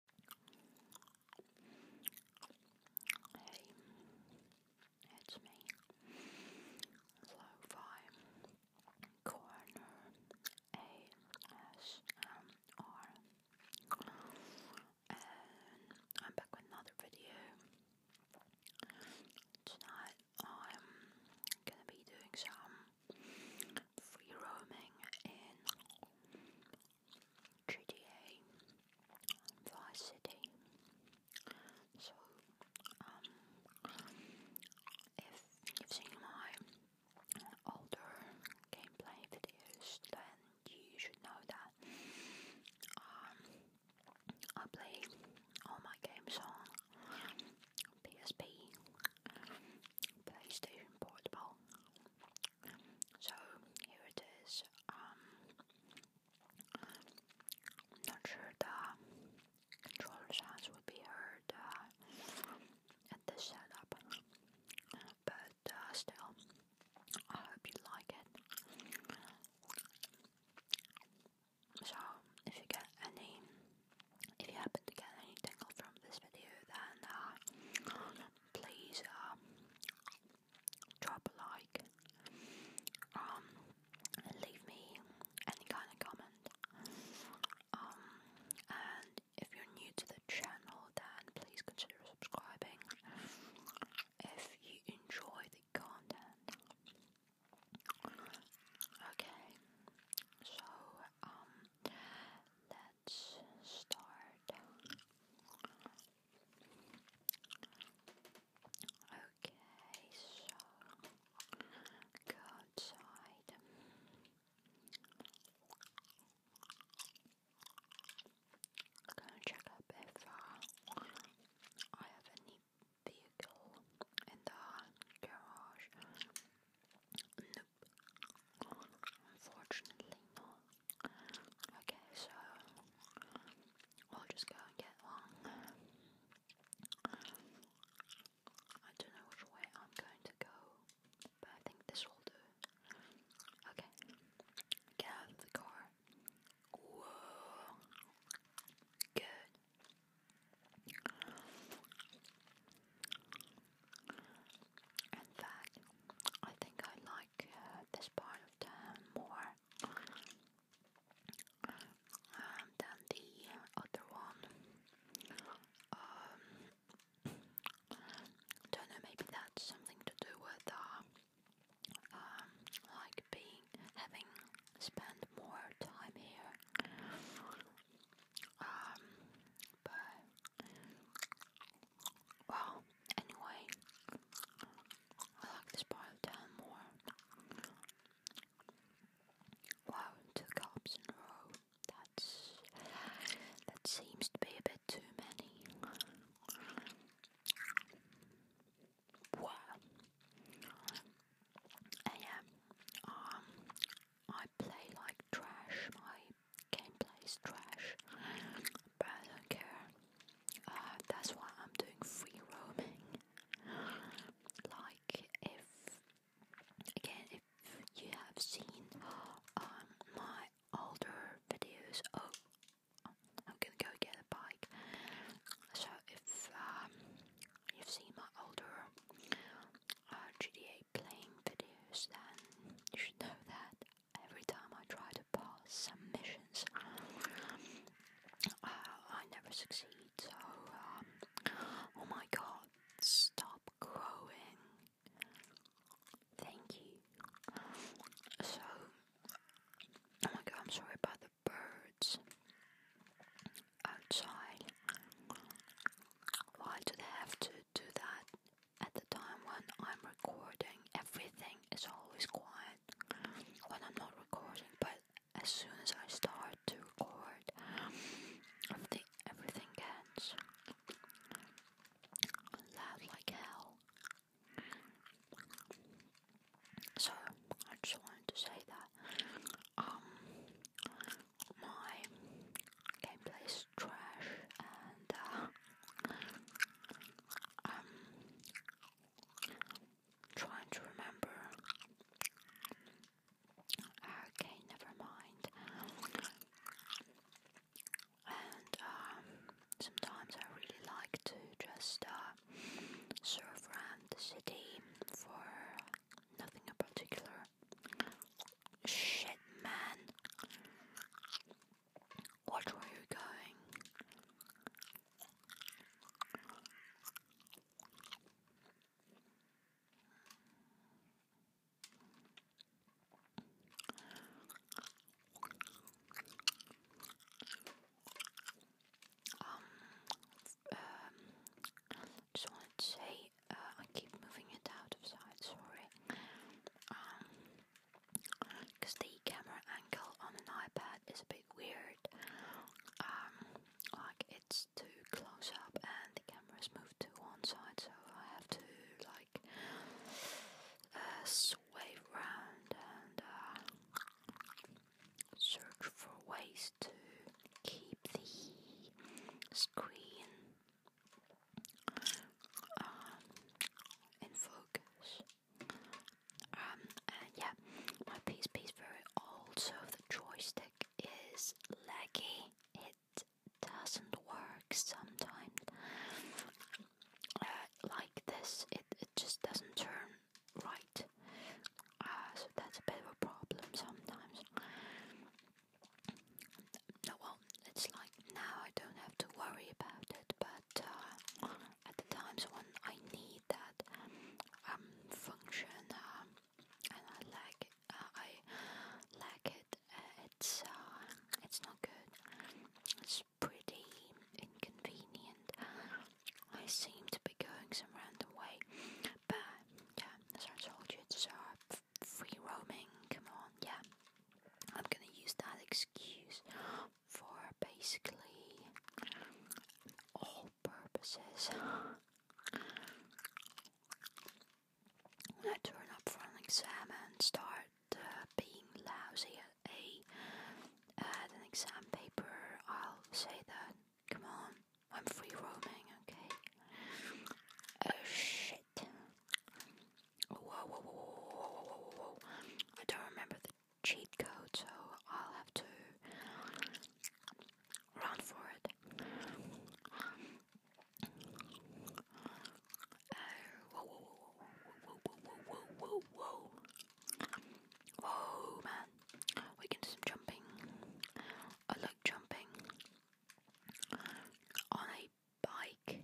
Hey, it's me. Lo-fi corner ASMR, I'm back with another video. Tonight I'm gonna be doing some free roaming in Tridier, um, Vice So, um, if you've seen my older gameplay videos, then you should know that um, I play all my games on PSP, PlayStation Portable, so here it is. Um, not sure the controller sounds will be heard uh, at this setup, but uh, still, I hope you like it. So, if you get any, if you happen to get any tingle from this video, then uh, please um, drop a like, um, leave me any kind of comment. Um, and if you're new to the channel, then please consider subscribing if you enjoy the content. Okay, so um, let's start. Okay, so go outside. Go and check up if uh, I have any vehicle in the garage. Unfortunately not. Okay, so I'll just go and get one. I don't know which way I'm going to go, but I think this will do. Okay, get out of the car. Whoa, good. In fact, I think I like uh, this part of town more um, than the other one. Um, don't know, maybe that's something to do with uh, um, like being having spent more time here. Well, anyway, I like this part of town more. Wow, two cops in a row. That's that seems to be a bit too many. Wow. And yeah, um, I play like trash, my gameplay is trash, but I don't care. Uh, that's why I'm doing free roaming. Like, if again, if you have seen um, my older videos, oh, I'm gonna go get a bike. So, if um, you've seen my older uh, GTA playing videos then you should know that every time I try to pass some missions uh, I never succeed so um, oh my god stop growing thank you so oh my god I'm sorry about the birds outside why do they have to do that at the time when I'm recording. Everything is always quiet when I'm not recording, but as soon as I start to record, everything, gets loud like hell. So I just wanted to say that. Um, my gameplay is trash and uh, i trying to remember. Okay, never mind. And um, sometimes I really like to just uh, surf around the city for nothing in particular. Shit, man. Watch where you going. Um, um, just want to say, uh, I keep moving it out of sight, sorry. because um, the camera angle on an iPad is a bit weird. Um, like it's too close up and the camera's moved to one side, so I have to like uh, sway and uh, search for ways to keep the screen um, in focus. Um, yeah, my PSP is very so the joystick is laggy. It doesn't work sometimes. Uh, like this, it, it just doesn't turn right. Uh, so that's a bit of a problem sometimes well, it's like now I don't have to worry about it, but uh, at the times when I need that um, function um, and I lack uh, it, I lack it. it's uh, it's not good. It's pretty inconvenient. I seem to be going some random way, but yeah, as I told you, it's free roaming, come on, yeah. I'm gonna use that excuse for basically all purposes. When I turn up for an exam and start uh, being lousy at a at an exam paper, I'll say that. Come on, I'm free roaming, okay? Oh shit! Whoa, whoa, whoa, whoa, whoa, whoa, whoa. I don't remember the cheat code, so I'll have to run for it. whoa, whoa, whoa, whoa, whoa, whoa, whoa, whoa, man. We can do some jumping. I like jumping on a bike.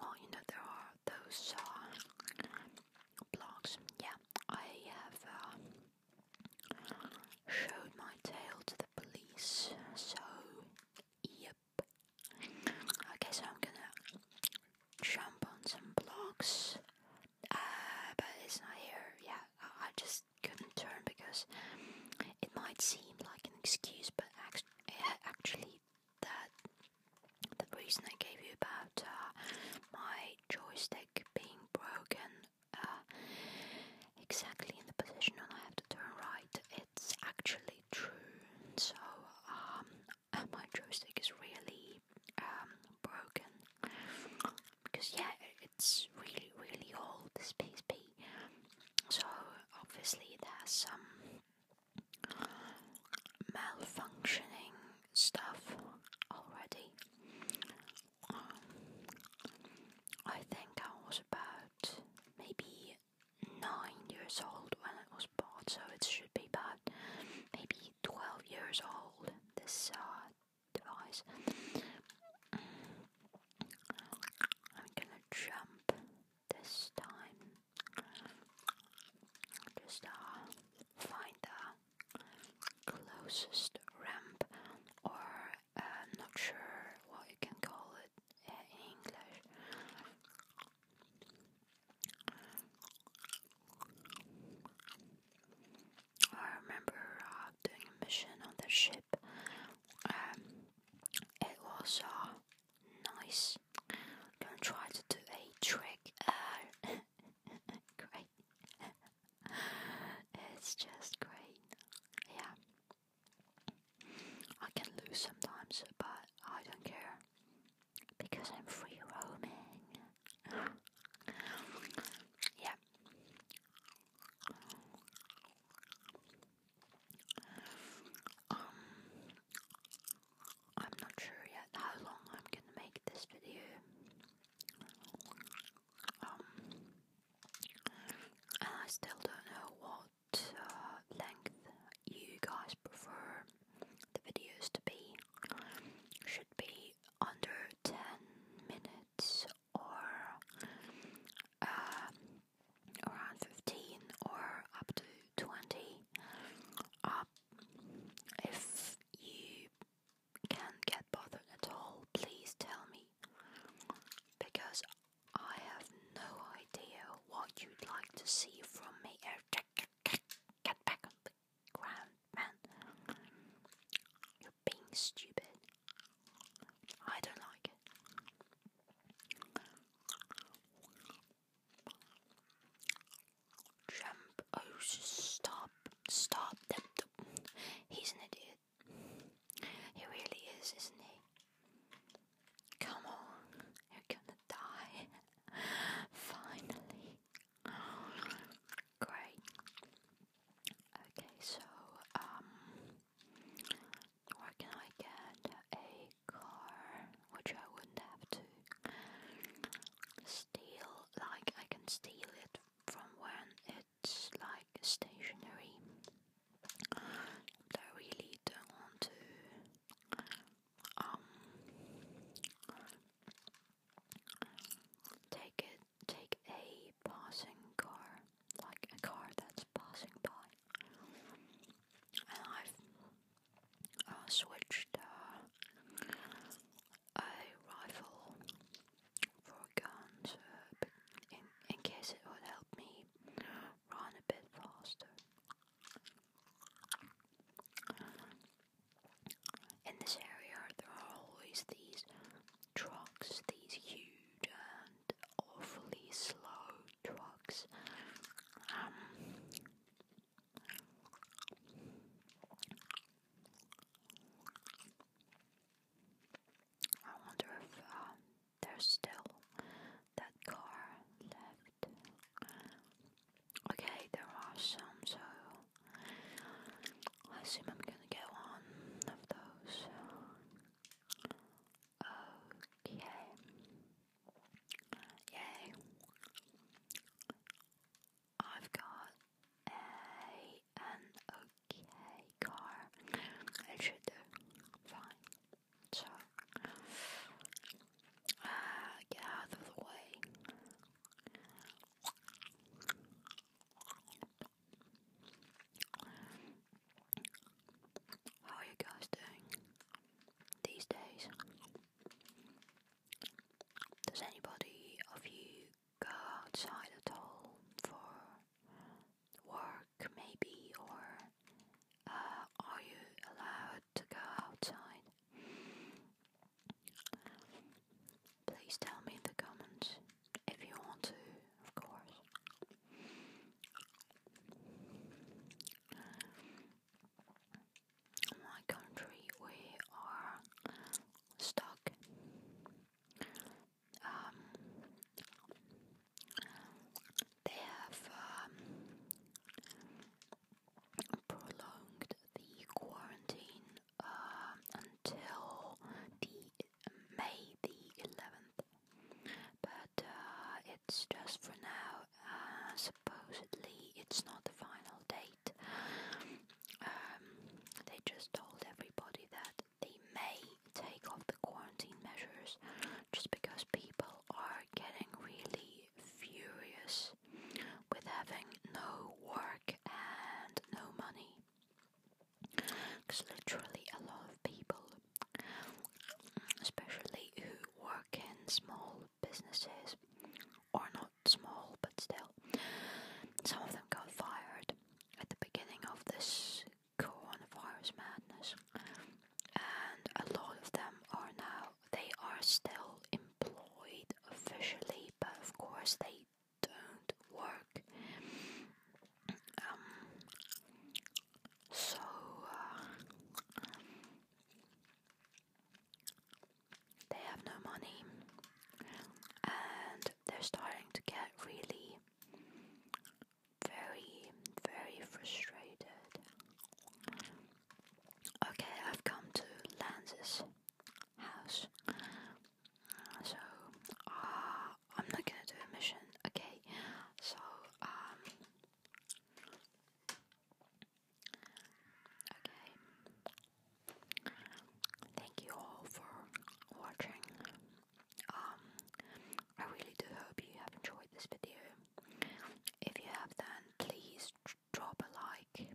Well, you know, there are those uh, blogs. Yeah, I have uh, showed my tail to the police, so yep. Okay, so I'm gonna jump on some blocks. uh, but it's not here. Yeah, I just couldn't turn because it might seem like an excuse, but actually that the reason I gave you about uh, my joystick being broken uh, exactly in the position when I have to turn right, it's actually true. So um, my joystick is really um, broken because yeah, it's really really old this PSP so obviously there's some malfunctioning stuff already um, I think I was about maybe 9 years old when it was bought so it should be about maybe 12 years old this uh, device. I'm gonna jump this time. Just uh, find the closest ramp, or uh, not sure what you can call it in English. I remember uh, doing a mission on the ship. Um, it was uh, nice. I'm try to do a trick. Uh, great. it's just great. Yeah. I can lose sometimes, but I don't care because I'm free roaming. yeah. Um, I'm not sure yet how long I'm gonna make this video. Um, and I still don't know what uh, length you guys prefer the videos to be. Should be under 10 minutes or uh, around 15 or up to 20 up um, if you can't get bothered at all please tell me because I have no idea what you'd like to see from me get back on the ground man being stupid. I don't like it. Jump! Oh, stop! Stop! He's an idiot. He really is, isn't he? Come on, you're gonna die. Finally. Great. Okay, so um, where can I get a car which I wouldn't have to steal? Like I can steal it from when it's like stationary. I really don't want to. Um, take it, take a passing car, like a car that's passing by. And I've uh, switched uh, a rifle for guns in case it would help me run a bit faster. In this area, there are always these trucks, these huge and awfully slow trucks. Um, I wonder if um, there's still that car left. Okay, there are some, so I assume I'm gonna get one of those. Okay. Yay. I've got a an okay car. It should do. Fine. So uh, the way. How are you guys doing these days? Does anybody of you go outside at all for work, maybe, or uh, are you allowed to go outside? Please tell me in the comments if you want to, of course. In my country, we are stuck. Um, they have um, prolonged the quarantine um, until the May the 11th, but uh, it's just for now. Uh, supposedly, it's not the final date. Um, they just told everybody that they may take off the quarantine measures just because people are getting really furious with having no work and no money. Because literally, a lot of people, especially who work in small businesses, or not small but still, some of them got fired at the beginning of this coronavirus madness, and a lot of them are now, they are still employed officially, but of course, they don't work. Um, so uh, they have no money, and they're starting to get really very, very frustrated. Okay, I've come to Lances house. So uh, I'm not gonna do a mission, okay? So um, okay. Thank you all for watching. Um, I really do hope you have enjoyed this video. If you have, then please drop a like.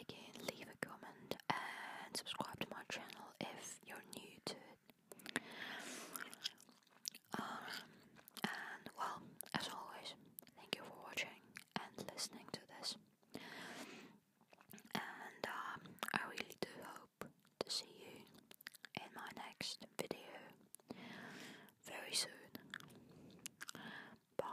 Again, leave a comment and subscribe to my channel if you're new to it. Um, and well, as always, thank you for watching and listening to this. And um, I really do hope to see you in my next video very soon. Bye.